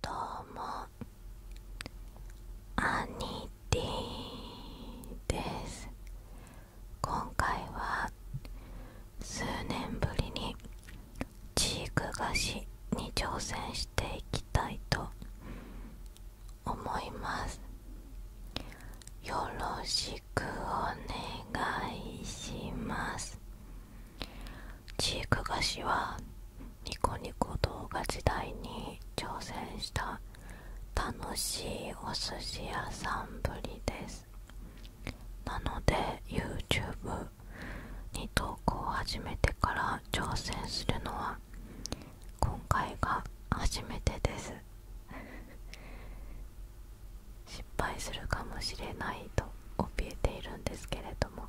どうもアニティです今回は数年ぶりにチーク菓子に挑戦していきたいと思いますよろしくお願いします知育菓子はニコニコ動画時代に挑戦した楽しいお寿司屋さんぶりですなので YouTube に投稿を始めてから挑戦するのは今回が初めてです失敗するかもしれないと怯えているんですけれども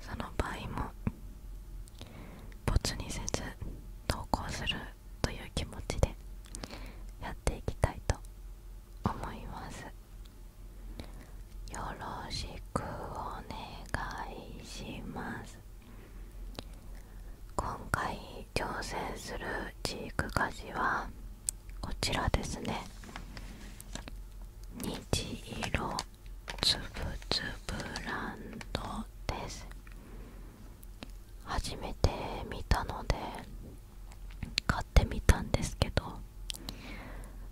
その場合も没にせず投稿するという気持ちでやっていきたいと思いますよろしくお願いします今回挑戦するチーク菓はこちらですね虹色つぶつぶランドです初めて見たので買ってみたんですけど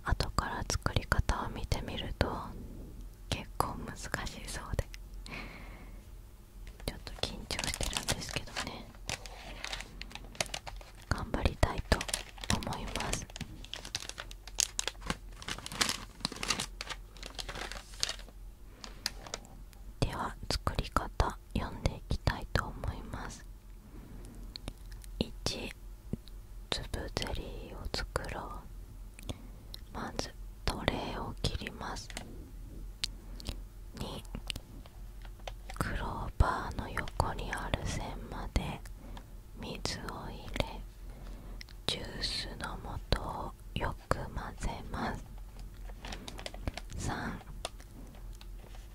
後から作り方を見てみると結構難しそうでちょっと緊張してるんですけどね頑張りたいと思いますでは作り方読んでいきたいと思います1粒ゼリーを作ろうまずトレーを切ります2クローバーの横にある線まで水を入れジュースの素をよく混ぜます3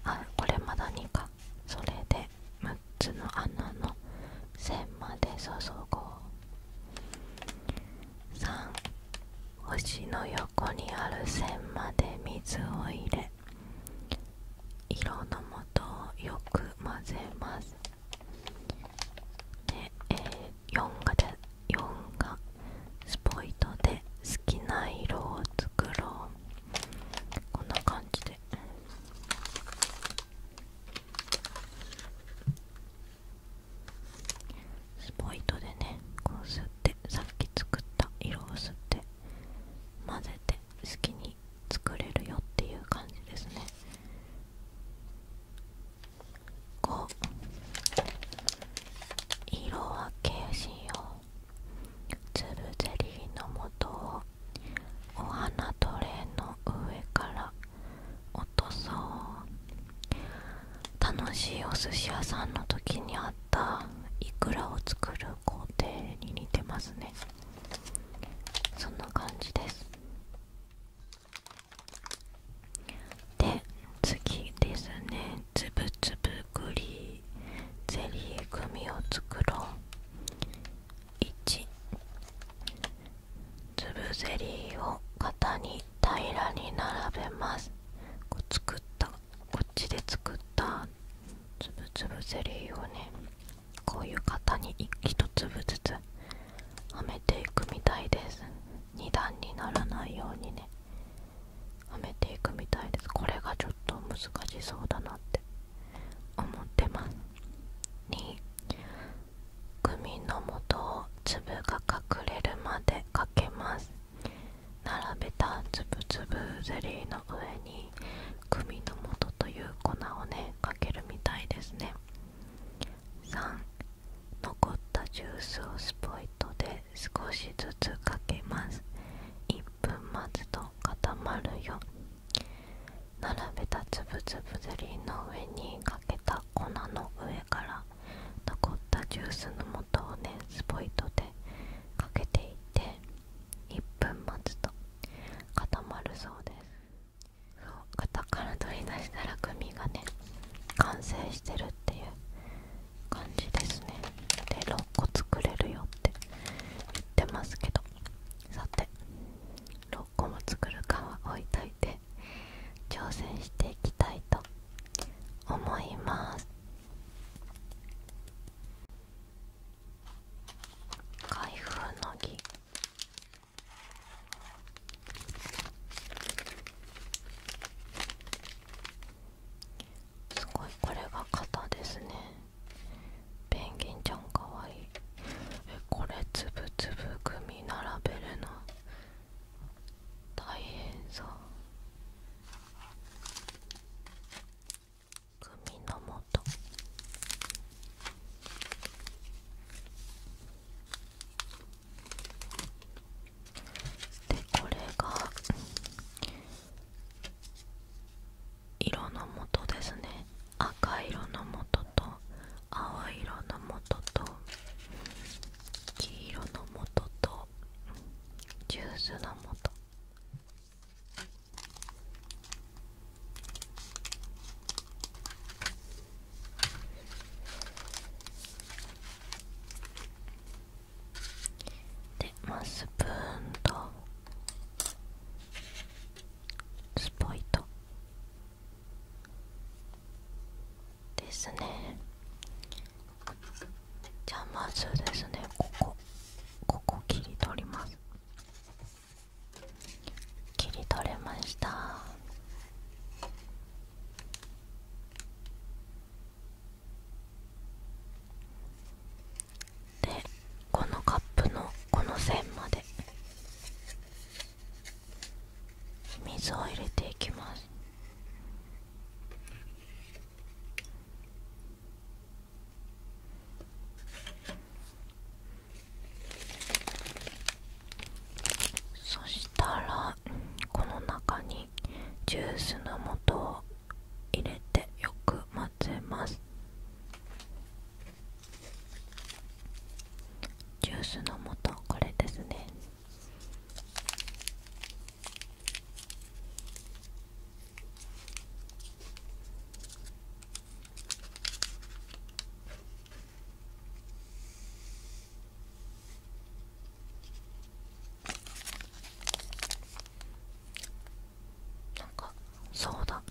あこれまだ2かそれで6つの穴の線まで注ごう星の横にある線まで水を入れ色の素をよく混ぜますで、えー、がで4がスポイトで好きな色を作ろうこんな感じでスポイトでねこう吸ってさっき作った色を吸って混ぜて好きに作れるよっていう感じですね5色分けしようつるゼリーの素をお花トレーの上から落とそう楽しいお寿司屋さんの時にあったいくらを作る工程に似てますねそんな感じですで次ですねつぶつぶグリーゼリー組を作ろう1粒ゼリーを型に平らに並べますこう作ったこっちで作ったつぶつぶゼリーをねこういう型に1粒ずつはめていくみたいです2段にならないようにねはめていくみたいですこれがちょっと難しそうだなって思ってます2グミの元を粒が隠れるまでかけます並べたつぶつぶゼリーの上にに首の素という粉をねかけるみたいですね3残ったジュースをスポイトで少しずつかけます1分待つと固まるよ並べたつぶつぶゼリーの上にかけた粉の上から残ったジュースの素をねスポイトでかけていって1分待つと固まるそうです型から取り出したらグミがね完成してるっていう感じですねで6個作れるよって言ってますけどさて6個も作るかは置いといて挑戦していきたいと思います開封の儀すごいこれが型ですねペンギンちゃんかわいいえこれつぶつぶ組並べるの大変そう組の元でこれが色のもとですね赤色のもとと、青色のもとと。黄色のもとと。ジュースのもと。でまあスプーンとスポイトですねじゃあまずですねここここ切り取ります切り取れましたでこのカップのこの線まで水を入れていきますそしたらこの中にジュースの素を入れてよく混ぜますジュースの素はこれですねなんかそうだ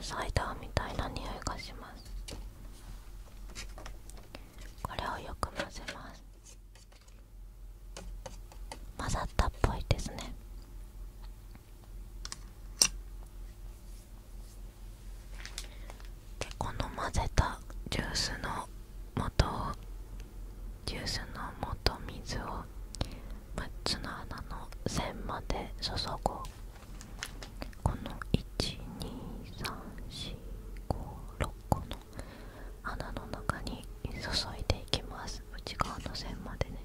サイダーみたいな匂いがしますこれをよく混ぜます混ざったっぽいですねこの混ぜたジュースの元をジュースの元水を6つの穴の線まで注ごうこの12345 6個の穴の中に注いでいきます内側の線までね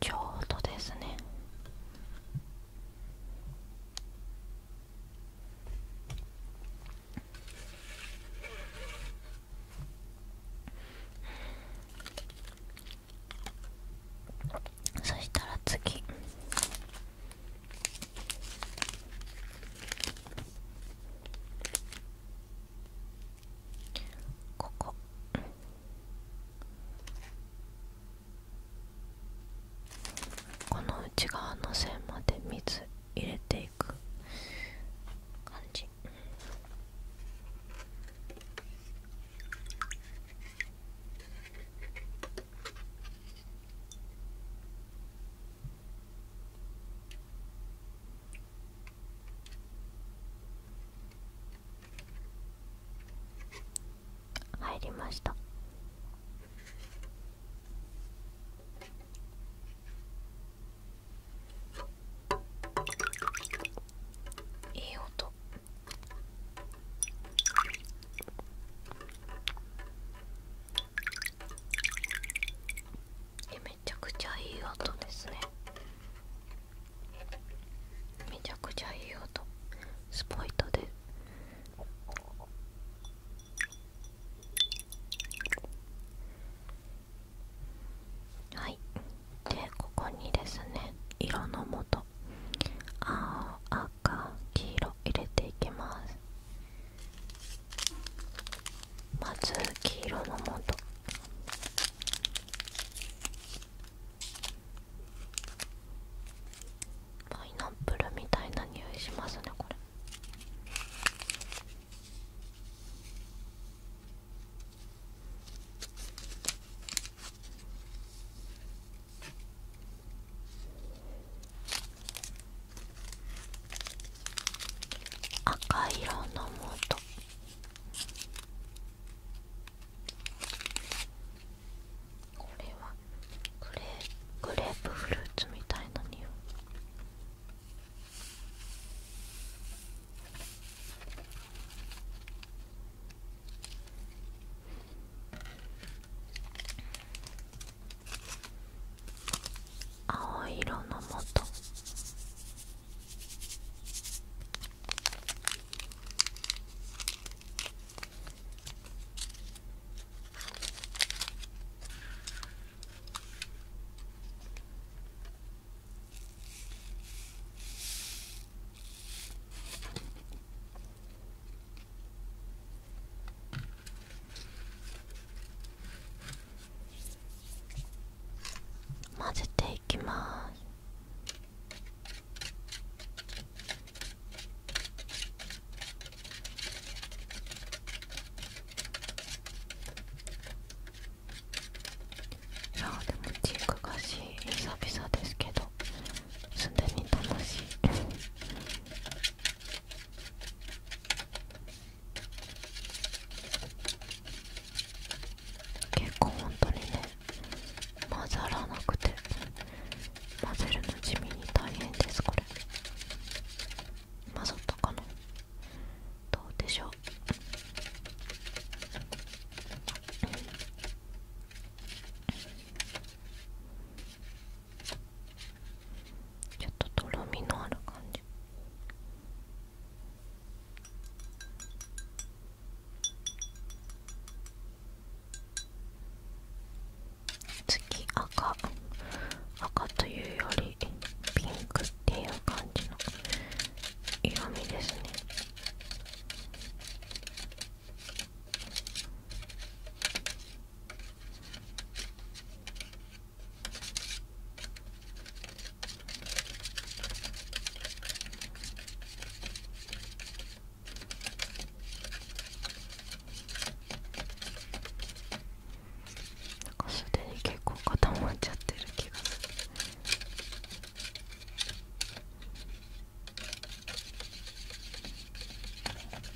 ちょうどですねそしたら次こここの内側の線まで水入れていく感じ入りましたいい音夢ちゃくちゃいい音ですねめちゃくちゃいい音スポイトではいでここにですね色のもと青赤黄色入れていきますまず黄色のもとパイナップルみたいな匂いしますねこれ赤色のもとこれはグレーグレープフルーツみたいな匂い青色のもと混ぜていいきますいやでもチーク菓子久々ですけどすでに楽しい結構本当にね混ざらなくて混ぜるの地味に大変ですこれ混ざったかなどうでしょうちょっととろみのある感じ月、赤赤というよりピンクっていう感じの色味ですねなんかすでに結構固まっちゃってる気がする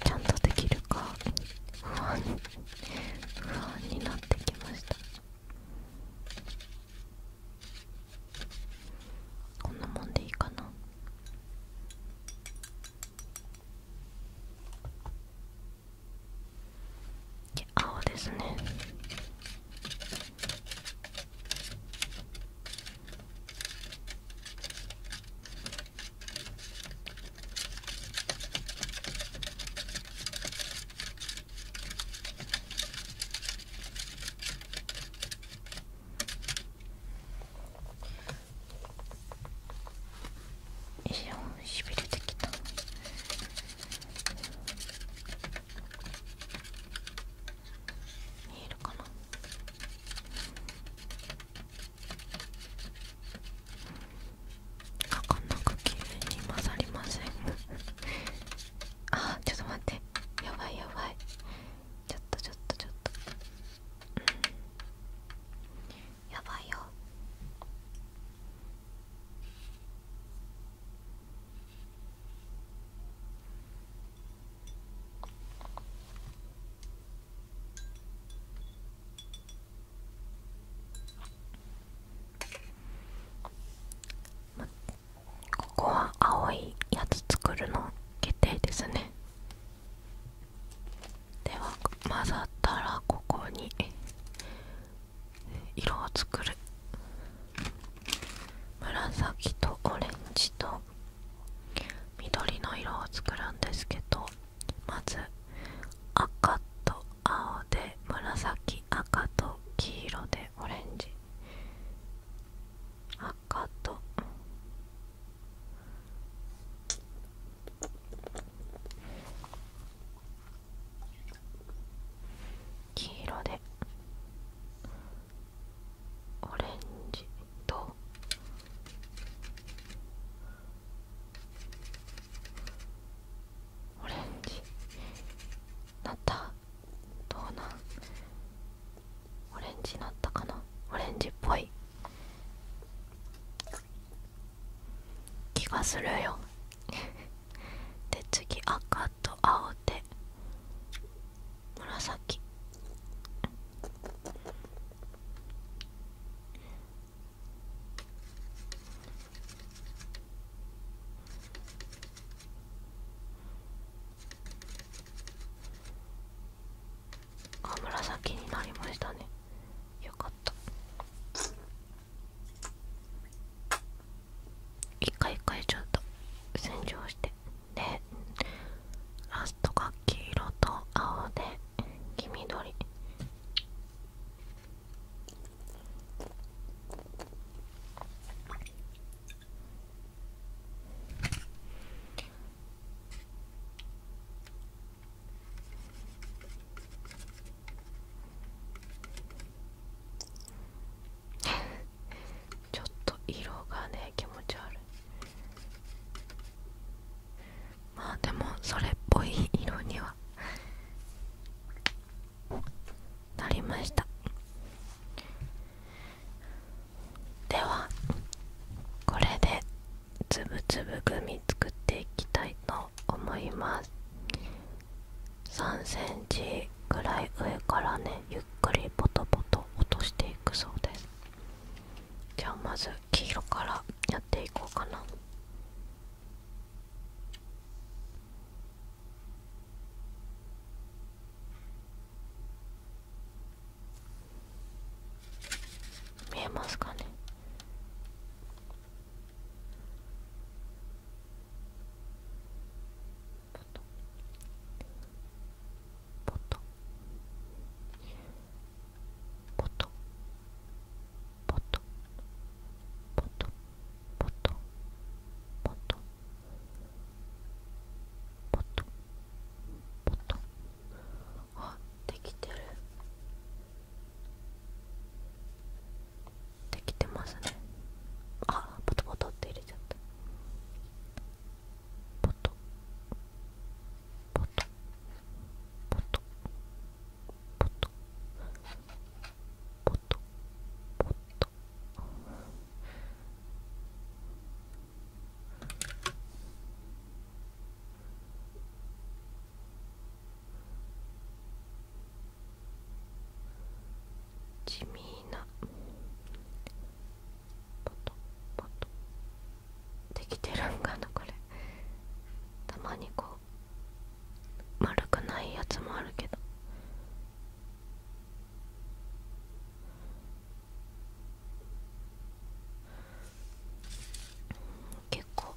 ちゃんとできるか不安不安になってきましたこんなもんでいいかな青ですねいやしびれてきた。見えるかなかかなく綺麗に混ざりませんあちょっと待ってやばいやばいちょっとちょっとちょっと、うん、やばいよもっここは青いやつ作るの決定ですねでは混ざったらここに色を作る紫とオレンジと緑の色を作るんですけどまず赤と青で紫赤と黄色でオレンジ赤と黄色でオレンジとオレンジなったどうなオレンジなったかなオレンジっぽい気がするよ で次赤と青で紫あ紫になりましたねよかった一回一回ちょっと洗浄してでラストが黄色と青で黄緑 ちょっと色がね気持ち悪いまあでもそれっぽい色にはなりましたではこれでつぶつぶグミ作っていきたいと思います3センチぐらい上からねゆっくりポトポト落としていくそうですじゃあまず黄色からやっていこうかな見えますかねポっともっト。ポっともっとあできてるできてますねあポトポトって入れちゃったポトポトポトポトポトポトポト地味なポトポトできてるんかなこれたまにこう丸くないやつもあるけどうん、結構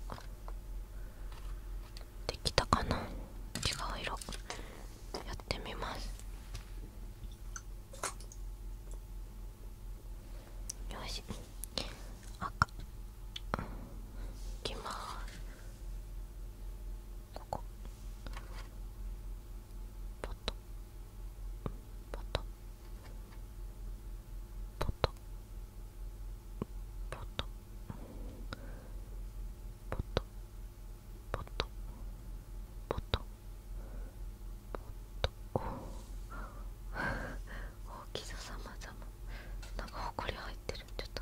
できたかな違う色やってみますよし赤いきますここポトポトポトポトポトポトポトポト大きささまざまなんかほこり入ってるちょっと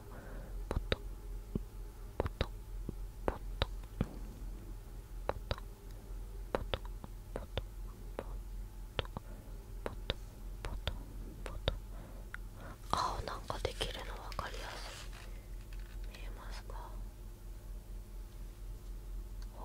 ポトポトポトポトポトポトポトポトポトポ青なんかできるの分かりやすい見えますかお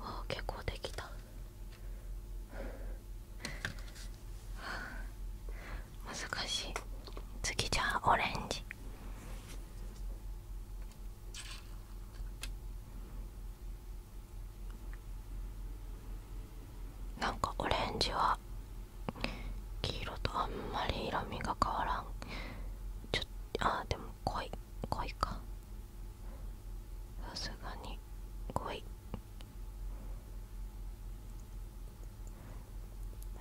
あ結構できた難しい次じゃあオレンジなんかオレンジは黄色とあんまり色味が変わらんちょっあでも恋恋かさすがに恋よ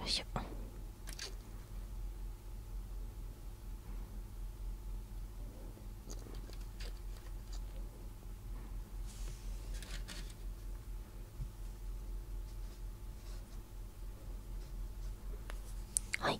いしょはい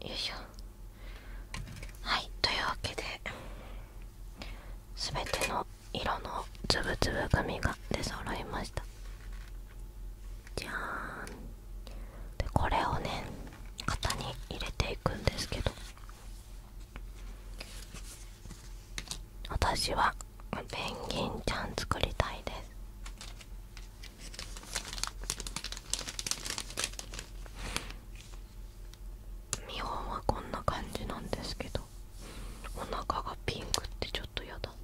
よいしょはいというわけで全ての色のつぶつぶ紙が出揃いましたじゃーんでこれをね型に入れていくんですけど私はペンギンちゃん作りたいです見本はこんな感じなんですけどお腹がピンクってちょっと嫌だな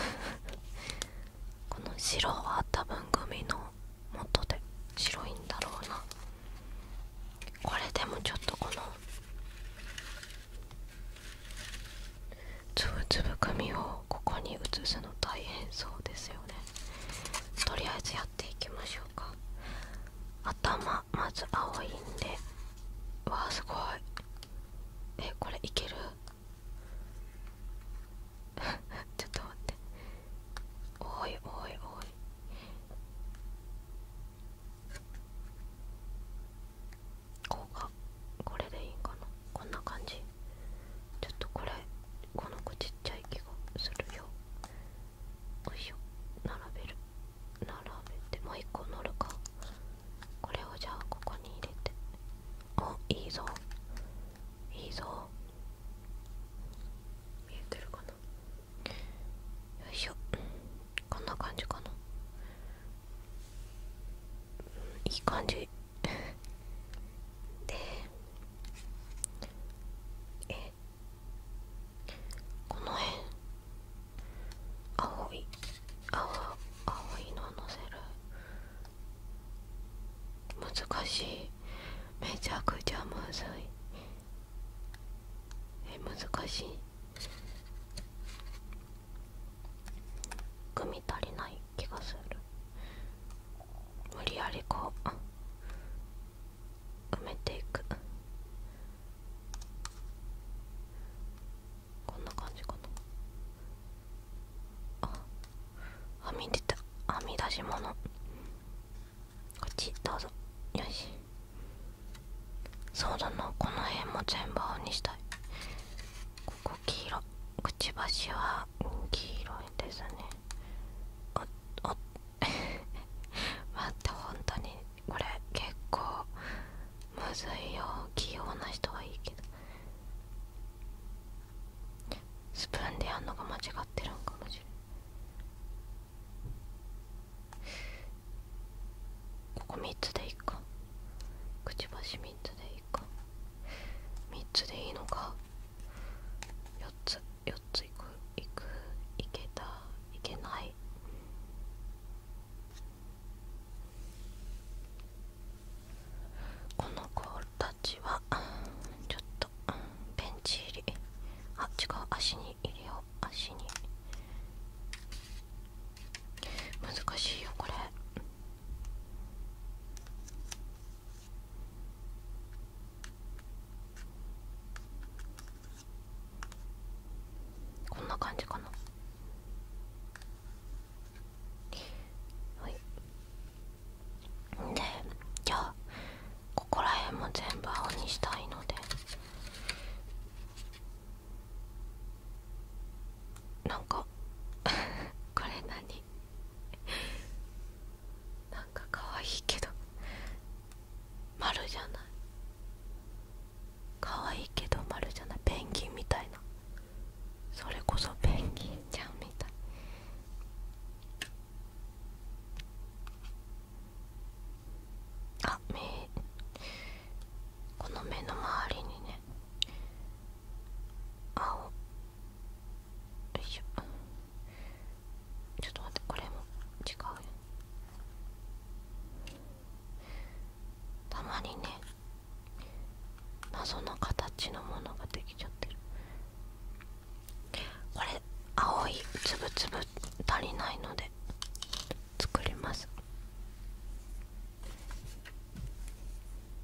この白は多分グミの元で白いんだろうなこれでもちょっとこのつぶつぶグミをここに移すの大変そうですよねとりあえずやっていきましょうか頭まず青いんでわあすごいえこれいける ちょっと待っておいおいおいこうかこれでいいんかなこんな感じちょっとこれこの子ちっちゃい気がするよよいしょ並べる並べてもう一個乗るかこれをじゃあここに入れておいいぞいいぞ見えてるかなよいしょこんな感じかないい感じでえこの辺青い青青いののせる難しいめちゃくちゃむずいえ難しい組み足りない気がする無理やりこう埋めていくこんな感じかなあはみ出たはみ出し物こっちどうぞよしそうだなこの辺も全部青にしたいここ黄色くちばしは黄色いですねおお 待って本当にこれ結構むずいよ器用な人はいいけどスプーンでやんのが間違ってるんかもしれんここ3つでいいかくちばし3つでいいい3つでいいのか4つ4ついくいくいけたいけないこの子たちはちょっとベンチ入りあっ違う足に入れよう足に難しいよこれこんな感じかなはいでじゃあここら辺も全部青にしたいのでなんか これ何 なんかかわいいけど丸じゃないかわいいけど丸じゃないペンギンみたいなそれこそペンギンちゃんみたいあ目この目の周りにね青よいしょちょっと待ってこれも違うよたまにね謎の形のものができちゃってるこれ青いつぶつぶ足りないので作ります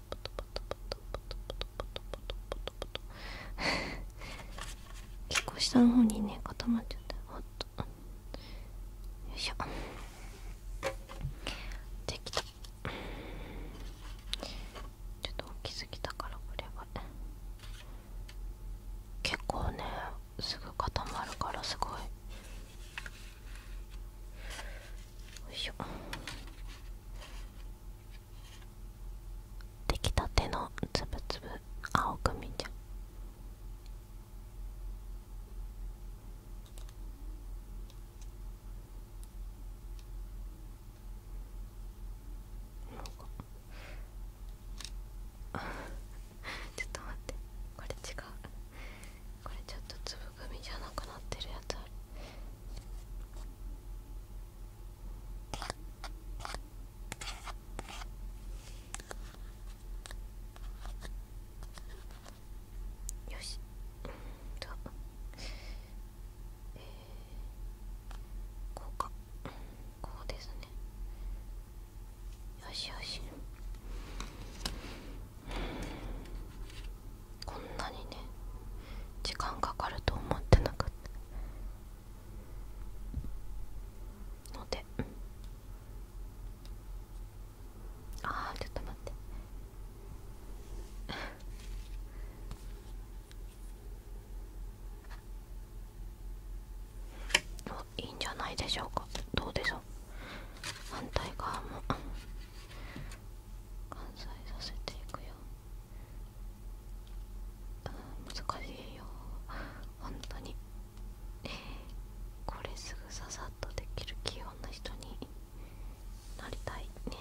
トポトポトポトポトポトポトポトポトポト結構下の方にね固まっちゃったほっとよいしょできたちょっと大きすぎたからこれは結構ねすぐ固まるからすごいよいしょできたてのつぶつぶ青く見ちゃうちょっと待ってこれ違うこれちょっとつぶ組じゃなくなってるやつあるよしうんとえー、こうかこうですねよしよしこんなにね時間かかると思ってなかったので、ああちょっと待っておいいんじゃないでしょうかどうでしょう反対側も完済させていくよ。難しいよ本当にこれすぐささっとできる器用な人になりたいね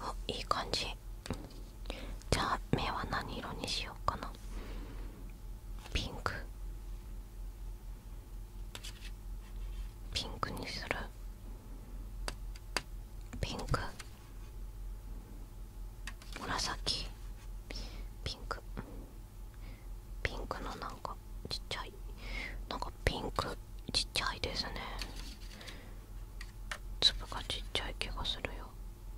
あいい感じじゃあ目は何色にしようかなピンクピンクにするピンク紫ピンクピンクのなんかちっちゃいなんかピンクちっちゃいですね粒がちっちゃい気がするよ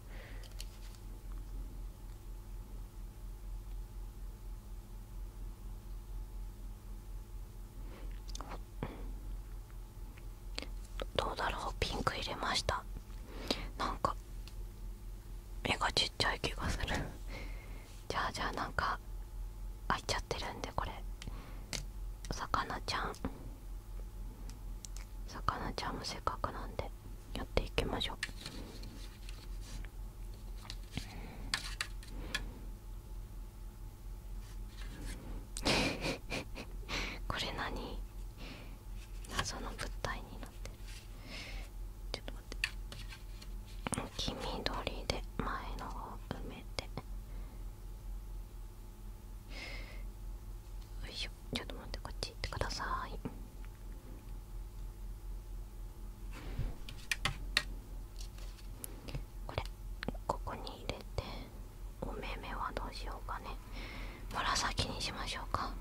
うん。どうだろうピンク入れましたなんか目がちっちゃい気がするじゃあじゃあなんか開いちゃってるんでこれお魚ちゃんさかなちゃんもせっかくなんでやっていきましょう これ何謎の物体になってるちょっと待って黄緑で前のを埋めてよいしょちょっと待ってこっち行ってくださいこれここに入れてお目目はどうしようかね紫にしましょうか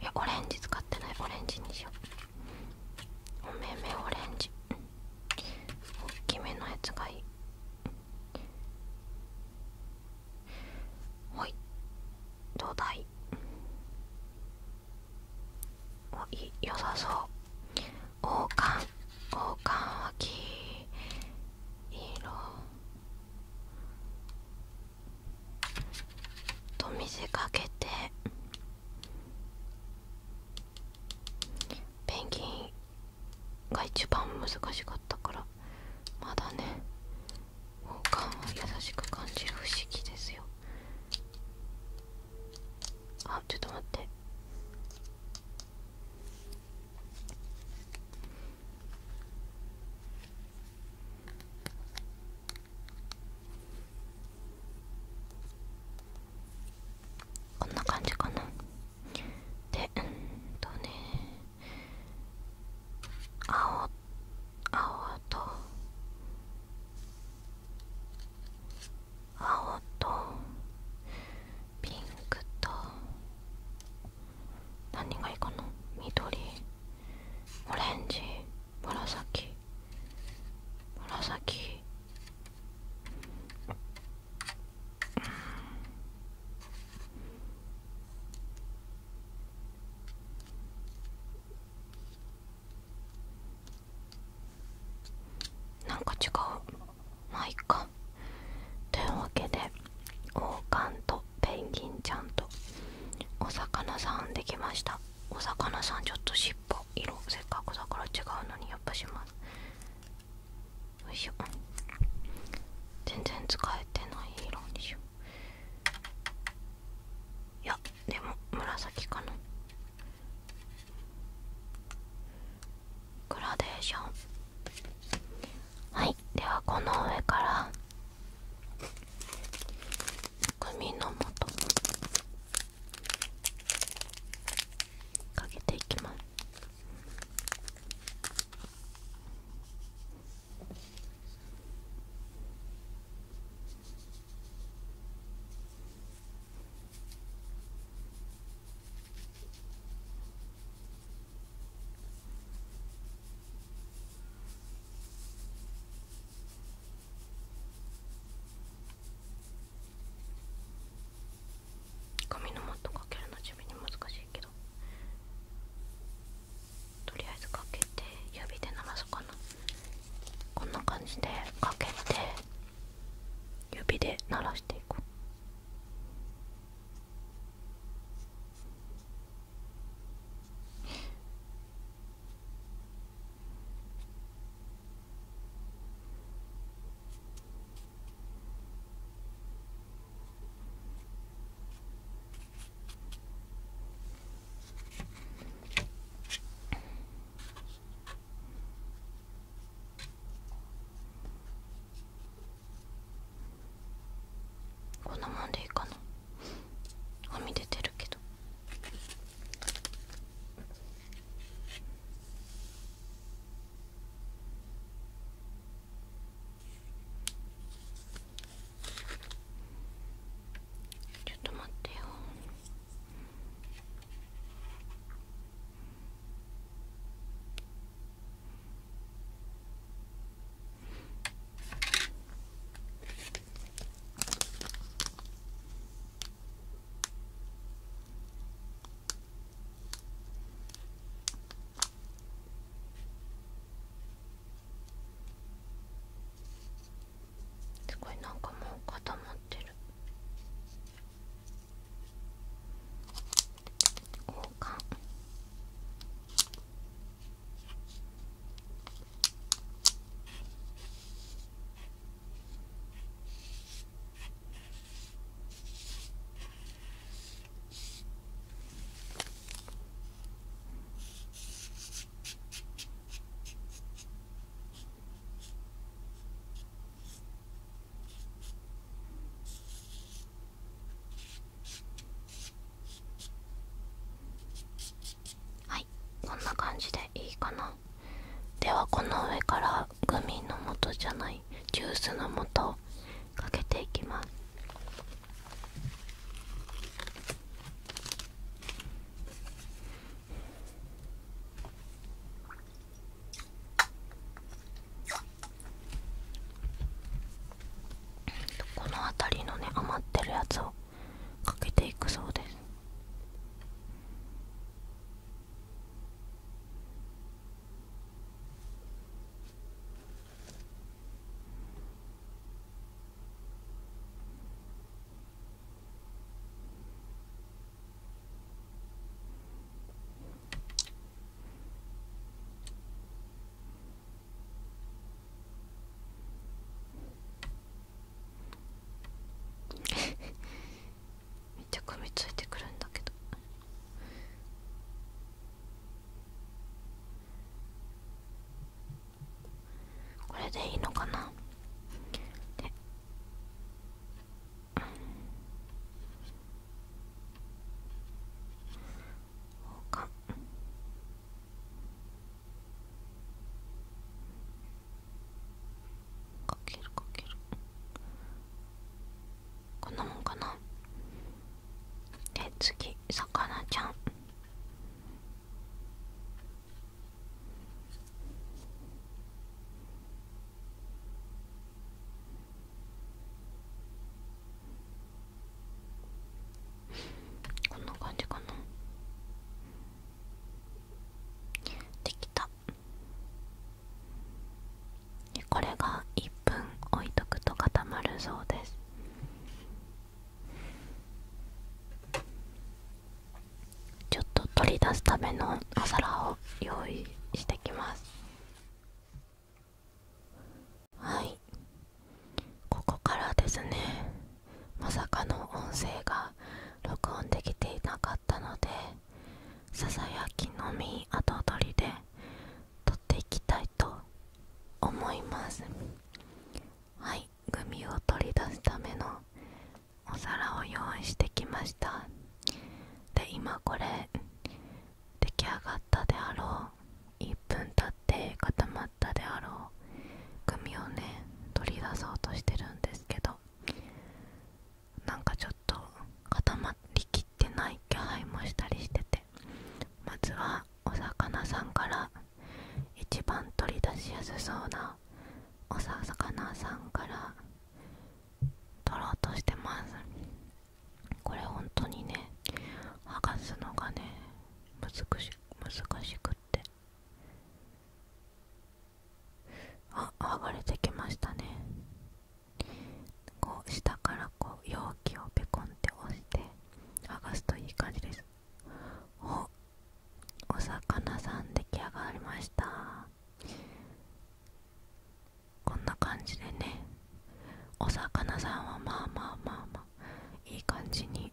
いやオレンジ使ってないオレンジにしようお目目オレンジ大きめのやつがいいほい土台。だおい良さそう王冠王冠は黄色と水かけてペンギンが一番難しかったからまだね王冠を優しく感じる不思議ですよあちょっと待ってこんな感じかなでうんとね青青と青とピンクと何がいいかな緑オレンジ紫紫うんなんか違うまあいっかというわけで王冠とペンギンちゃんとお魚さんできましたお魚さんちょっと尻尾色せっかくだから違うのにやっぱしますよいしょ全然使えてない色にしよういやでも紫かなグラデーションはいではこの上から組のもとかけていきます紙のマットかけるのじゃ。難しいけどとりあえずかけて指で鳴らすかなこんな感じでかけて指でならしていく。うこんなもんでいいかなはみ出てるけど。ちょっと待ってよすごいなんかもう固まってる交換はいこんな感じでいいかなではこの上からグミの素じゃないジュースの素かけていきますこの辺りのね余ってるやつをかけていくそうですめっちゃ噛みついてくるんだけどこれでいいのかなで、うん、他かけるかけるこんなもんかなで次魚ちゃんこんな感じかなできたでこれが1分置いとくと固まるそうですちょっと取り出すためのお皿を用意してきますはいここからですねまさかの音声が録音できていなかったのでささやきのみ後取りで撮っていきたいと思います。と思いますはいグミを取り出すためのお皿を用意してきましたで今これ出来上がったであろう1分経って固まったであろうグミをね取り出そうとしてるんですけどなんかちょっと固まりきってない気配もしたりしててまずはお魚さんから一番取り出しやすそうなお魚さんから取ろうとしてますこれ本当にね剥がすのがね難し難しくってあ剥がれてきましたねこう下からこう容器をペコンって押して剥がすといい感じですおお魚さん出来上がりましたこんな感じでねお魚さんはまあまあまあまあいい感じに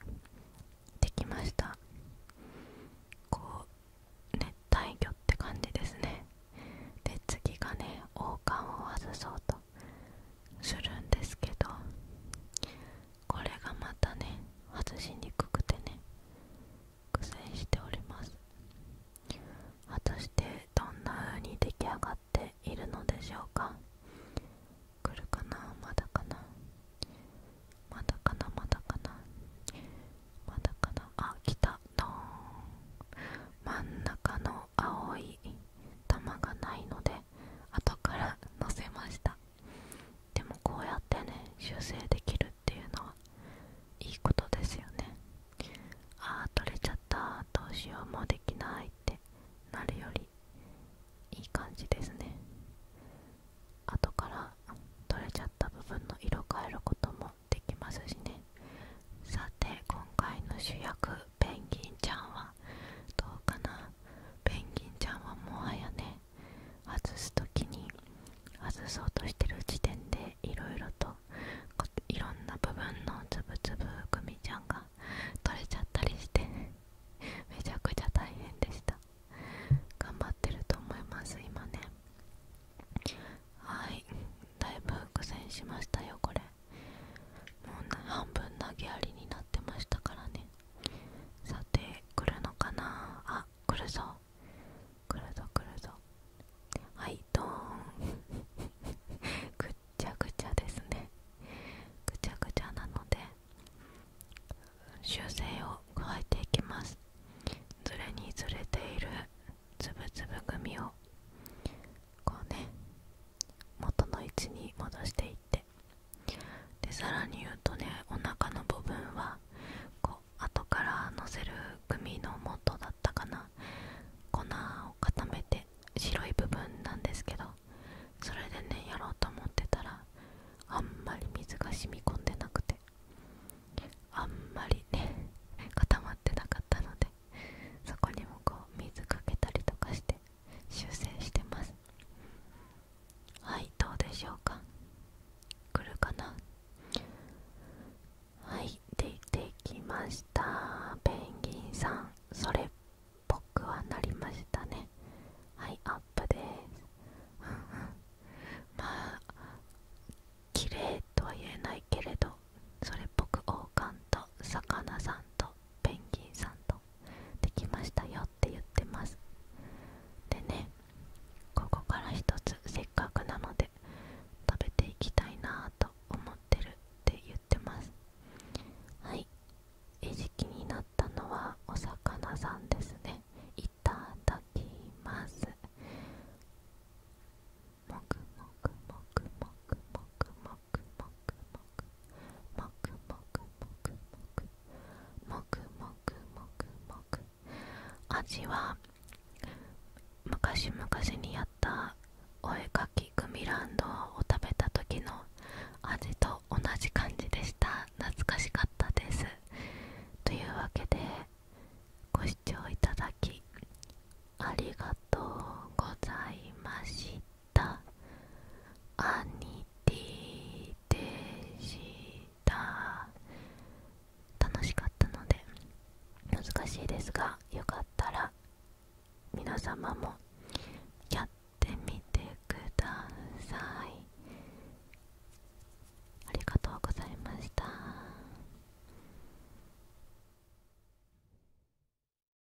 できましたこう熱帯魚って感じですねで次がね王冠を外そうとするんですけどこれがまたね外しにくくてね苦戦しております果たしてどんな風に出来上がっているのでしょうか来るかなまだかなまだかなまだかなまだかなあ来たドー真ん中の青い玉がないのでで後から載せましたでもこうやってね修正できるっていうのはいいことですよねああ取れちゃったどうしようもうできないってなるよりいい感じですね後から取れちゃった部分の色変えることもできますしねさて今回の主役ペンギンちゃんはどうかなペンギンちゃんはもはやね外す時に外そうとしてる時点でいろいろといろんな部分のつぶつぶくみちゃんが取れちゃったりしてめちゃくちゃ大変でした頑張ってると思います今ねはいだいぶ苦戦しましたよこれもう半分投げやりになってましたからねさて来るのかなあ来るぞ来るぞ来るぞはいドーン ぐっちゃぐちゃですねぐちゃぐちゃなので修正を加えていきますずれにずれているつぶつぶ組をこうね元の位置に戻していってでさらに言うとねお腹の部分はこう後からのせる組の元だったかな粉を固めて白い部分なんですけどそれでねやろうと思ってたらあんまり水が染み込んでなくてあんまりね固まってなかったのでそこにもこう水かけたりとかして修正してますはいどうでしょうか来るかなはいでてきましたペンギンさんそれっぽくはなりましたねはいアップです まあ綺麗とは言えないけれどそれっぽく王冠と魚さんとペンギンさんとできましたよって言ってますでねここから一つせっかくなので食べていきたいなと思ってるって言ってますはい餌食になったのはお魚さんですねいただきますもくもくもくもくもくくもくもくもくもくもくもくもくもくもく味は昔々にやったお絵かきグミランドを食べた時の味と同じ感じでした懐かしかったですというわけでご視聴いただきありがとうございましたたアニでした楽しかったので難しいですがよかったら皆様もやってみてくださいありがとうございました